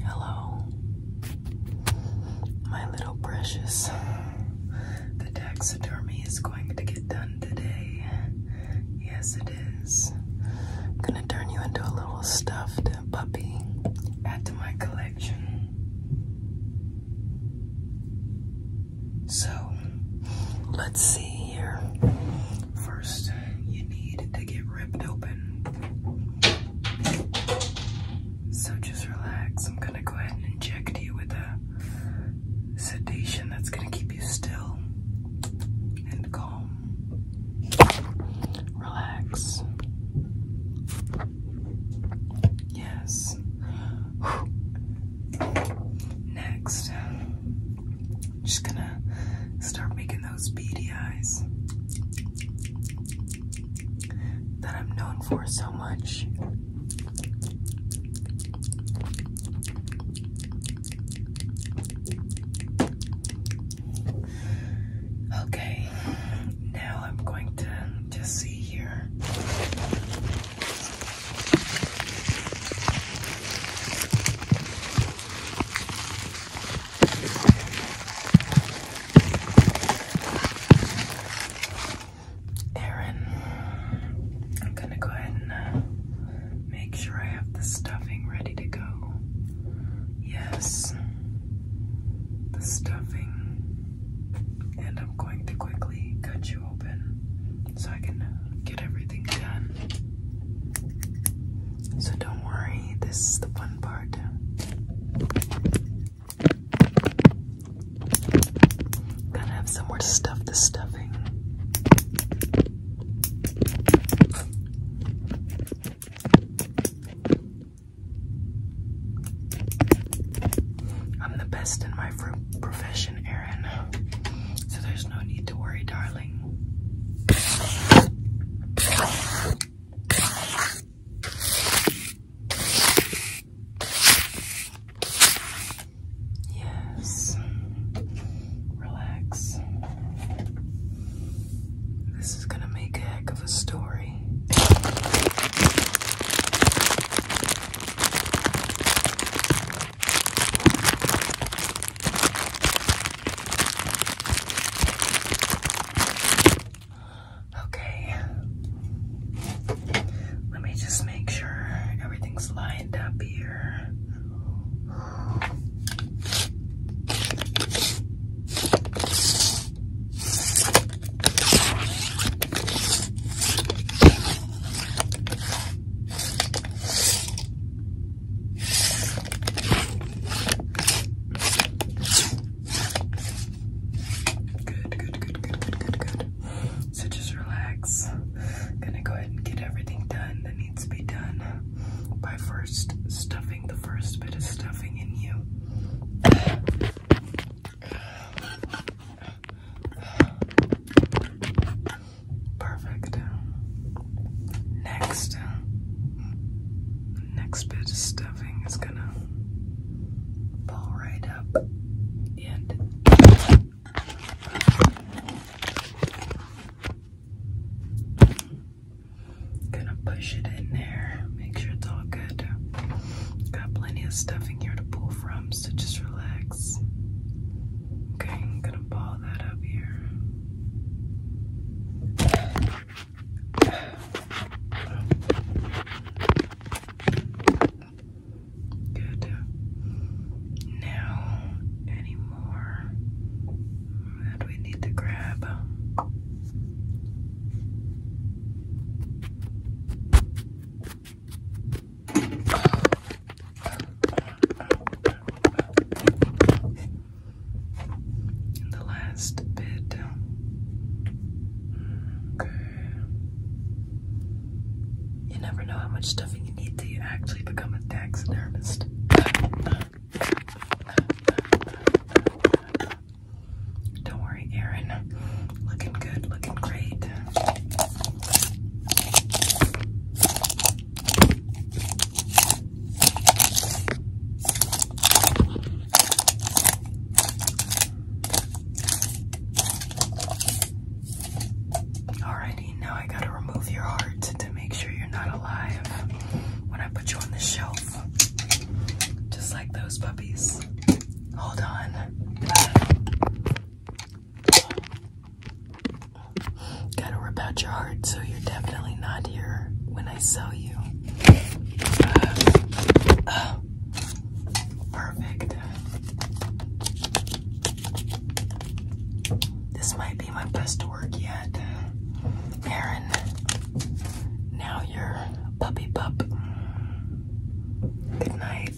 Hello, my little precious. The taxidermy is going to get done today. Yes, it is. I'm gonna turn you into a little stuffed puppy. Add to my collection. So, let's see First, you need to get ripped open. So just relax. I'm gonna go ahead and inject you with a sedation that's gonna keep you still and calm. Relax. Yes. Next, just gonna start making those beady eyes that I'm known for so much. Okay, now I'm going to just see here. Aaron, I'm gonna go ahead and uh, make sure I have the stuffing ready to go. Yes, the stuffing. And I'm going to quickly cut you open so I can so don't worry, this is the fun part. Gotta have somewhere to stuff the stuffing. I'm the best in my profession, Erin. So there's no need to worry, darling. Yes. Relax. This is going to make a heck of a story. Okay. Let me just make sure everything's lined up here. Good, good, good, good, good, good, good. So just relax. Gonna go ahead and get everything done that needs to be done by first stuffing the first bit of stuffing in you. Perfect. Next, next bit of stuffing is gonna pull right up and gonna push it in there. Make sure it's all good. Got plenty of stuffing here to pull from, so just relax. Okay, gonna pause all that Good. Now, any more we need to grab? the last bit. Okay. You never know how much stuffing you need to actually become a taxidermist. Don't worry, Aaron. Looking good, looking great. Alrighty, now I gotta remove your heart to make sure you're not alive when I put you on the shelf. Just like those puppies. Hold on. Gotta rip out your heart, so you're definitely not here when I sell you. Uh, uh, perfect. This might be my best work yet. Aaron, now you're puppy pup. Good night.